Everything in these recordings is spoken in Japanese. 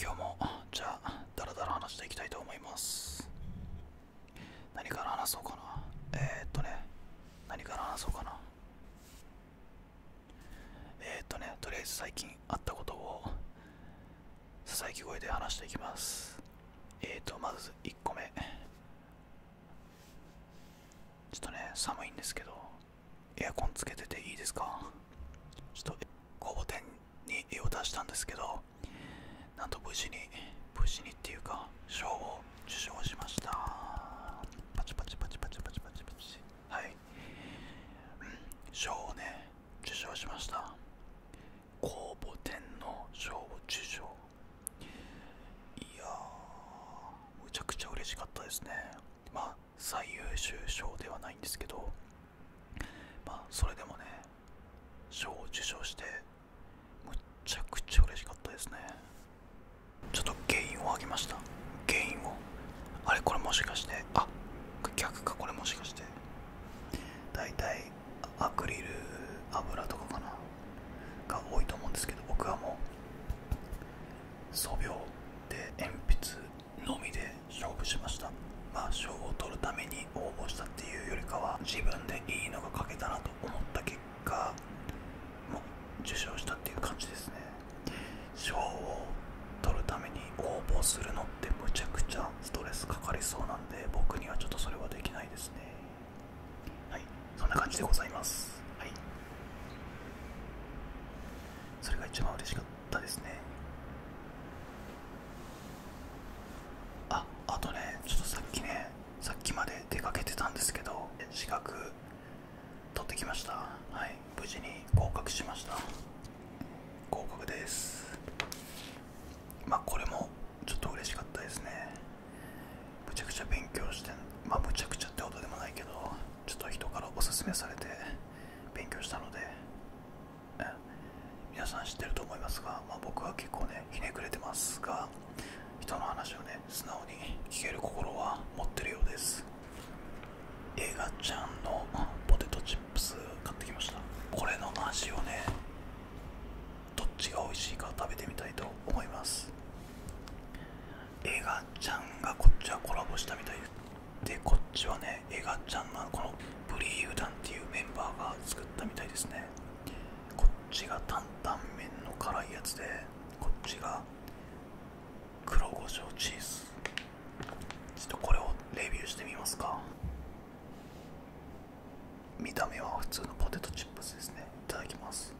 今日もじゃあダラダラ話していきたいと思います何から話そうかなえっとね何から話そうかなえっとねとりあえず最近あったことをささやき声で話していきますえっとまず1個目ちょっとね寒いんですけどエアコンつけてていいですかちょっと工房店に絵を出したんですけどなんと無事に無事にっていうか賞を受賞しましたパチパチパチパチパチパチパチはいうん、賞をね受賞しました公募展の賞を受賞いやむちゃくちゃ嬉しかったですね最優秀賞ではないんですけどまあそれでもね賞を受賞してむっちゃくちゃ嬉しかったですねちょっと原因をあげました原因をあれこれもしかしてあ逆かこれもしかしてだいたいアクリル油とかかなが多いと思うんですけど僕はもう素描で鉛筆のみで勝負しましたまあ賞を取るために応募したっていうよりかは自分でいいのが書けたなと思った結果も受賞したっていう感じですね賞を取るために応募するのってむちゃくちゃストレスかかりそうなんで僕にはちょっとそれはできないですねはいそんな感じでございますはいそれが一番嬉しかったたですねああとねちょっとさっきねさっきまで出かけてたんですけど資格取ってきましたはい無事に合格しました合格ですまあこれもちょっと嬉しかったですねむちゃくちゃ勉強してまむちゃくちゃってことでもないけどちょっと人からおすすめされて勉強したので皆さん知ってると思いますが、ま僕は結構ねひねくれてますが人の話をね素直に聞ける心は持ってるようです映画ちゃんのポテトチップス買ってきましたこれの味をねどっちが美味しいか食べてみたいと思います映画ちゃんがこっちはコラボしたみたいでこっちはねエガちゃんがこのブリーダンっていうメンバーが作ったみたいですねこっちが担々麺の辛いやつでこっちが黒胡椒チーズちょっとこれをレビューしてみますか見た目は普通のポテトチップスですねいただきます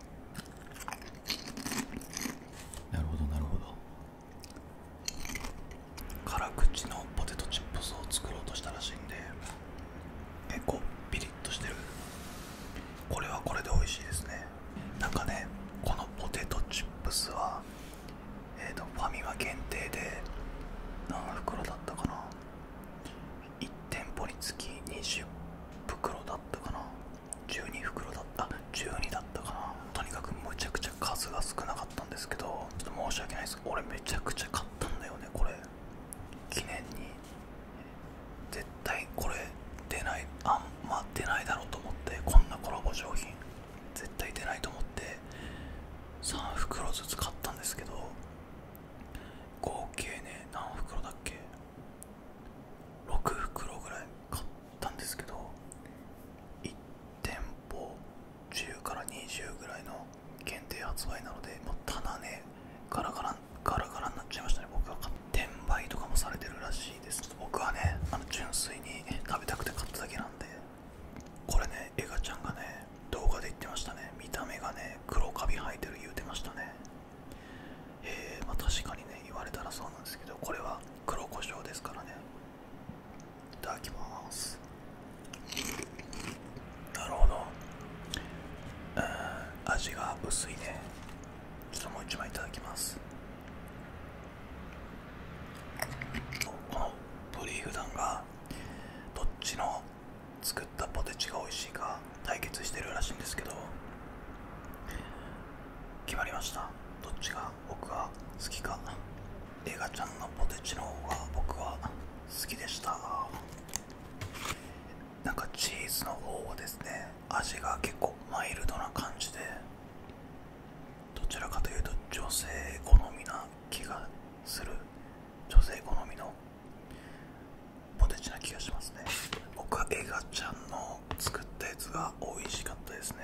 なるほどなるほど辛口のポテトチップスを作ろうとしたらしいんで結構ピリッとしてるこれはこれで美味しいですねなんかねこのポテトチップスはえっ、とファミマ限定で何袋だったかな1店舗につき20袋だったかな12袋だった12だったかなとにかくむちゃくちゃ数が少なかった。かったんですけどちょっと申し訳ないです俺めちゃくちゃ買ったんだよねこれ記念に絶対これ出ないあんま出ないだろうと思ってこんなコラボ商品絶対出ないと思って3袋ずつ買ったんですけど合計ね何袋だっけ6袋ぐらい買ったんですけど1店舗10から20ぐらいの限定発売なのでもう棚ねガラガラガラガラになっちゃいましたね僕は転売とかもされてるらしいです僕はねあの純粋に食べたくて買っただけなんでこれねエガちゃんがね動画で言ってましたね見た目がね黒カビ生えてる言うてましたねえー、ま確かにね言われたらそうなんですけどこれは黒胡椒ですからねいただきますなるほどうん味が薄いねちょっともう一枚いただきますこのトリーフがどっちの作ったポテチが美味しいか対決してるらしいんですけど決まりましたどっちが僕が好きかエガちゃんのポテチの方が僕は好きでしたなんかチーズの方はですね味が結構マイルドな感じでどちらかというと女性好みな気がする女性好みのポテチな気がしますね僕はエガちゃんの作ったやつが美味しかったですね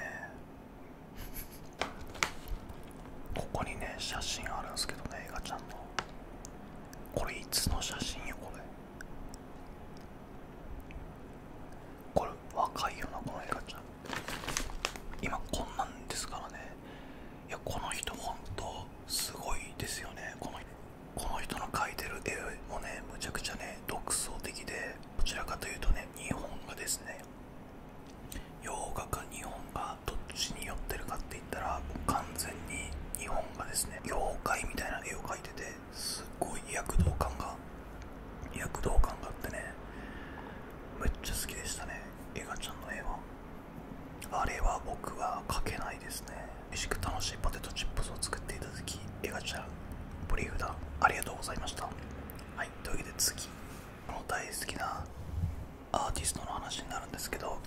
ここにね写真あるんですけどね映画ちゃんのこれいつの写真よこれこれ若いよなこの映画ちゃん今こんなんですからねいやこの人ほんとすごいですよねこのこの人の描いてる絵もねむちゃくちゃね独創的でどちらかというとね日本がですね洋画か日本がどっちに寄ってるかって言ったらもう完全に日本がですね妖怪みたいな絵を描いててすっごい躍動感が躍動感があってねめっちゃ好きでしたねエガちゃんの絵はあれは僕は描けないですね美味しく楽しいポテトチップスを作っていただき映画ちゃんブリーフだありがとうございましたはいというわけで次の大好きなアーティストの話になるんですけど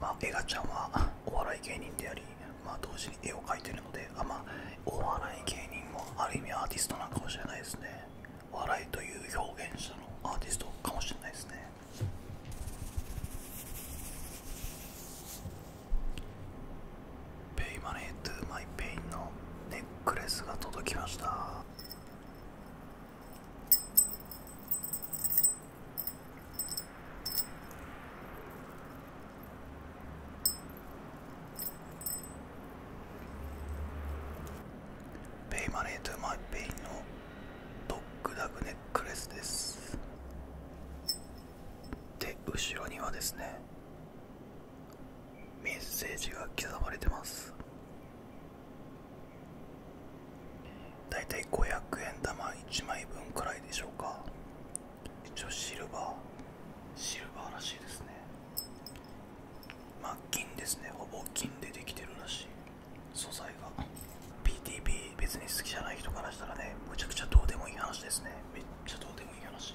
まエガちゃんはお笑い芸人でありま同時に絵を描いてるのであまお笑い芸人もある意味アーティストなのかもしれないですね笑いという表現者のアーティストかもしれないですねペイマネートゥマイペインのネックレスが届きましたペイマネートゥマイペインのドッグダグネックレスですで後ろにはですねメッセージが刻まれてますだいたい500円玉1枚分くらいでしょうか一応シルバーシルバーらしいですねまあ金ですねほぼ金でできてるらしい素材が p t p 別に好きじゃない人からしたらねむちゃくちゃどうでもいい話ですねめっちゃどうでもいい話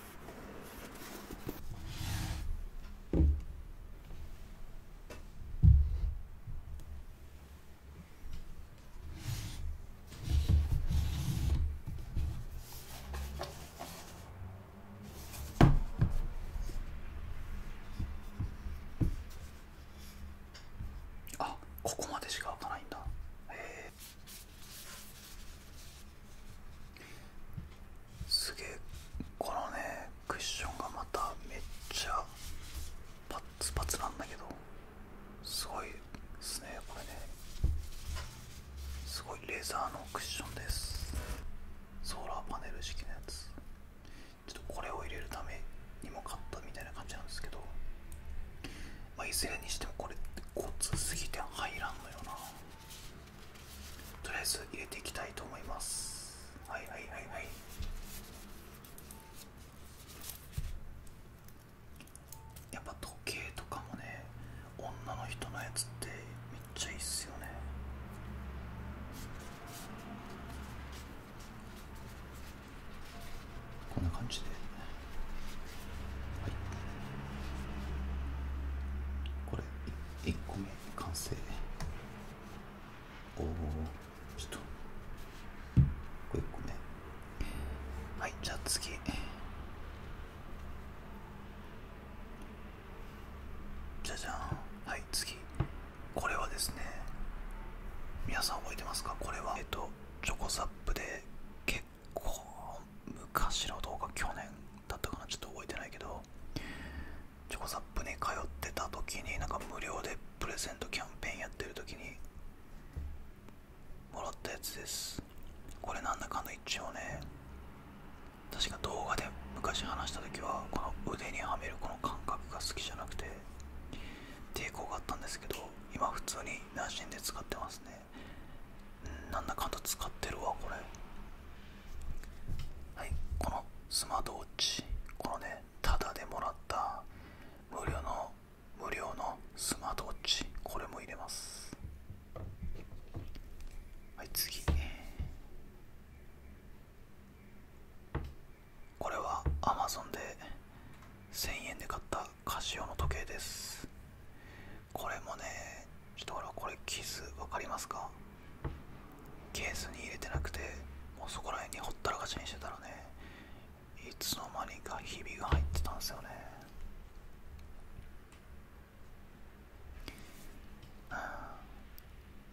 あここまでしか開かないんだへえすげえこのねクッションがまためっちゃパッツパツなんだけどすごいですねこれねすごいレザーのクッションですソーラーパネル式のやつちょっとこれを入れるためにも買ったみたいな感じなんですけどまあいずれにしてもこれコツすぎて入らんのよなとりあえず入れていきたいと思いますはいはいはいはいやっぱ時計とかもね女の人のやつってめっちゃいいっすよねこんな感じで、はい、これ1個目完成おおちょっとこれ1個目はいじゃあ次じゃじゃんはい次これはですね皆さん覚えてますかこれはえっとチョコサップで結構昔の動画去年だったかなちょっと覚えてないけどチョコサップに通ってた時になんか無料でプレゼントキャンペーンやってる時にもらったやつですこれなんだかんだ一応ね確か動画で昔話した時はこの腕にはめるこの感覚が好きじゃなくて抵抗があったんですけど今普通に馴染んで使ってますねなんだかんだ使ってるわこれはいこのスマートウォッチこのねタダでもらった無料の無料のスマートウォッチこれも入れますはい次これは Amazon で1000円で買ったカシオの時計ですこれもねちからこれキス分かりますかケースに入れてなくてもうそこら辺にほったらかしにしてたらねいつの間にかひびが入ってたんですよねうん。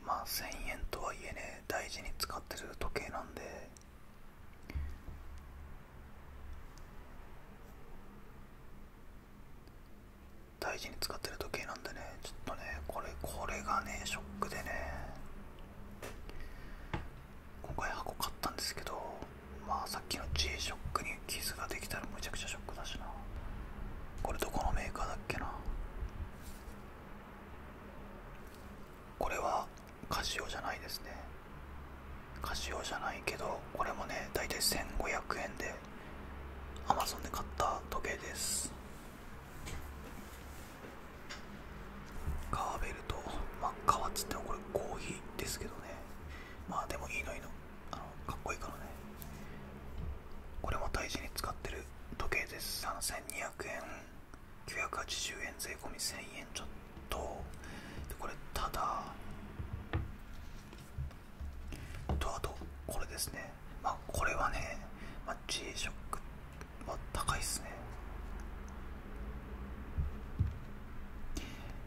まあ1000円とはいえね大事に使ってる時計なんで大事に使ってる時計なんでねちょっとねこれこれがねショックでね今回箱買ったんですけどまあさっきの G ショックに傷ができたらむちゃくちゃショックだしなこれどこのメーカーだっけなこれはカシオじゃないですねカシオじゃないけどこれもね大体1500円でアマゾンで買った時計です革ベルトまあ革っつってもこれコーヒーですけどねまあでもいいのいいのあのかっこいいからねこれも大事に使ってる時計です3200円980円税込1000円ちょっとでこれただとあとこれですねまあこれはね、ま G-SHOCK は高いですね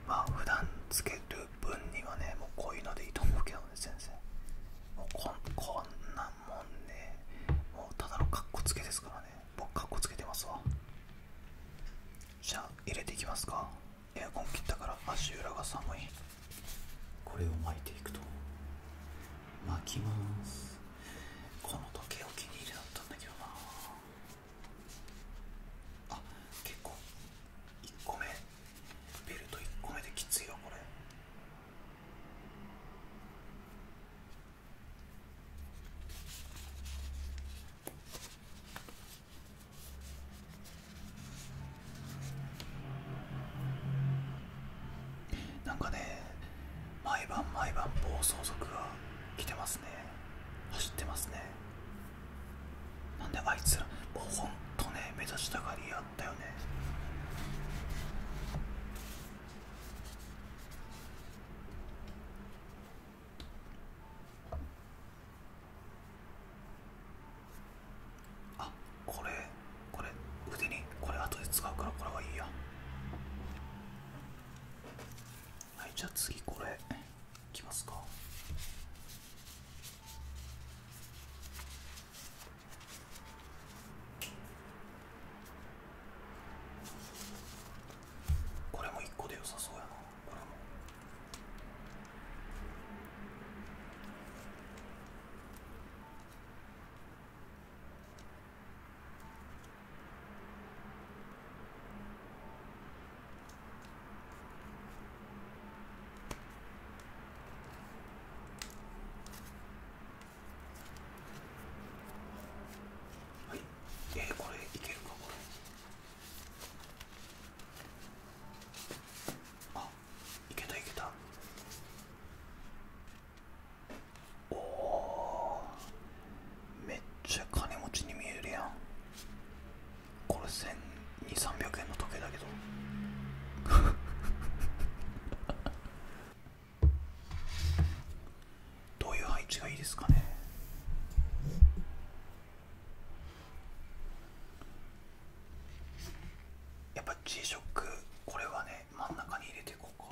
まあ普段つける分にはねもうこういうのでいいと思うけどね先生もうこんこんなもんねもうただのかっこつけですからね僕かっこつけてますわじゃあ入れていきますかエアコン切ったから足裏が寒いこれを巻いていくと巻きますこの時計お気に入りだったんだけどなあ結構1個目ベルト1個目できついよこれなんかね毎晩毎晩暴走族が来てますね走ってますねなんであいつらもうほんとね目立ちたがりやったよねあこれこれ腕にこれ後で使うからこれはいいやはいじゃあ次これいきますかこれも1個で良さそうやなはい、えー、これいけるかこれあいけたいけたおおめっちゃ金持ちに見えるやんこれ1200300円の時計だけど どういう配置がいいですかねやっぱ G ショックこれはね真ん中に入れていこうか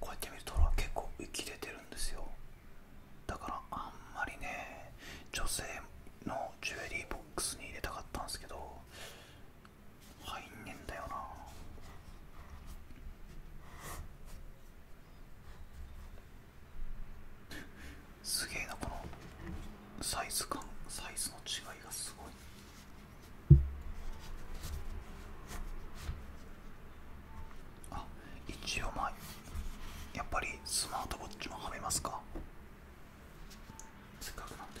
こうやって見ると結構浮き出てるんですよだからあんまりね女性のジュエリーボックスに入れたかったんですけど入んねんだよなすげえなこのサイズ感サイズの違いがすごいあ一応まあやっぱりスマートウォッチもはめますかせっかくなんで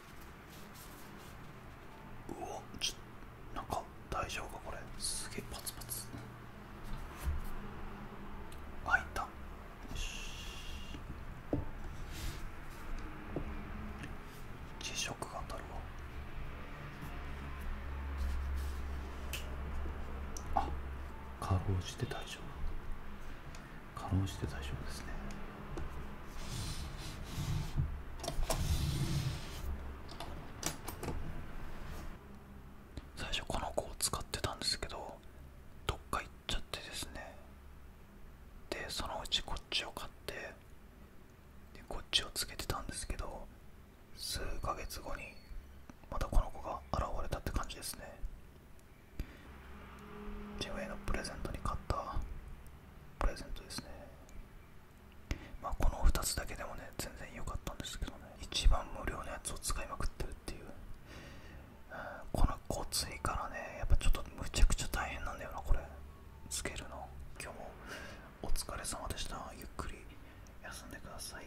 うわちょっなんか大丈夫かこれすげえパツパツ開いたよし磁石が当たるわあかろうじて大丈夫かろうじて大丈夫ですね最初この子を使ってたんですけどどっか行っちゃってですねでそのうちこっちを買ってでこっちをつけてたんですけど数ヶ月後にまたこの子が現れたって感じですね自分へのプレゼントに買ったプレゼントですねまこの2つだけでもね全然良かったんですけどね一番無料のやつを使いまくってるっていう、このこついからねやっぱちょっとむちゃくちゃ大変なんだよなこれつけるの今日もお疲れ様でしたゆっくり休んでください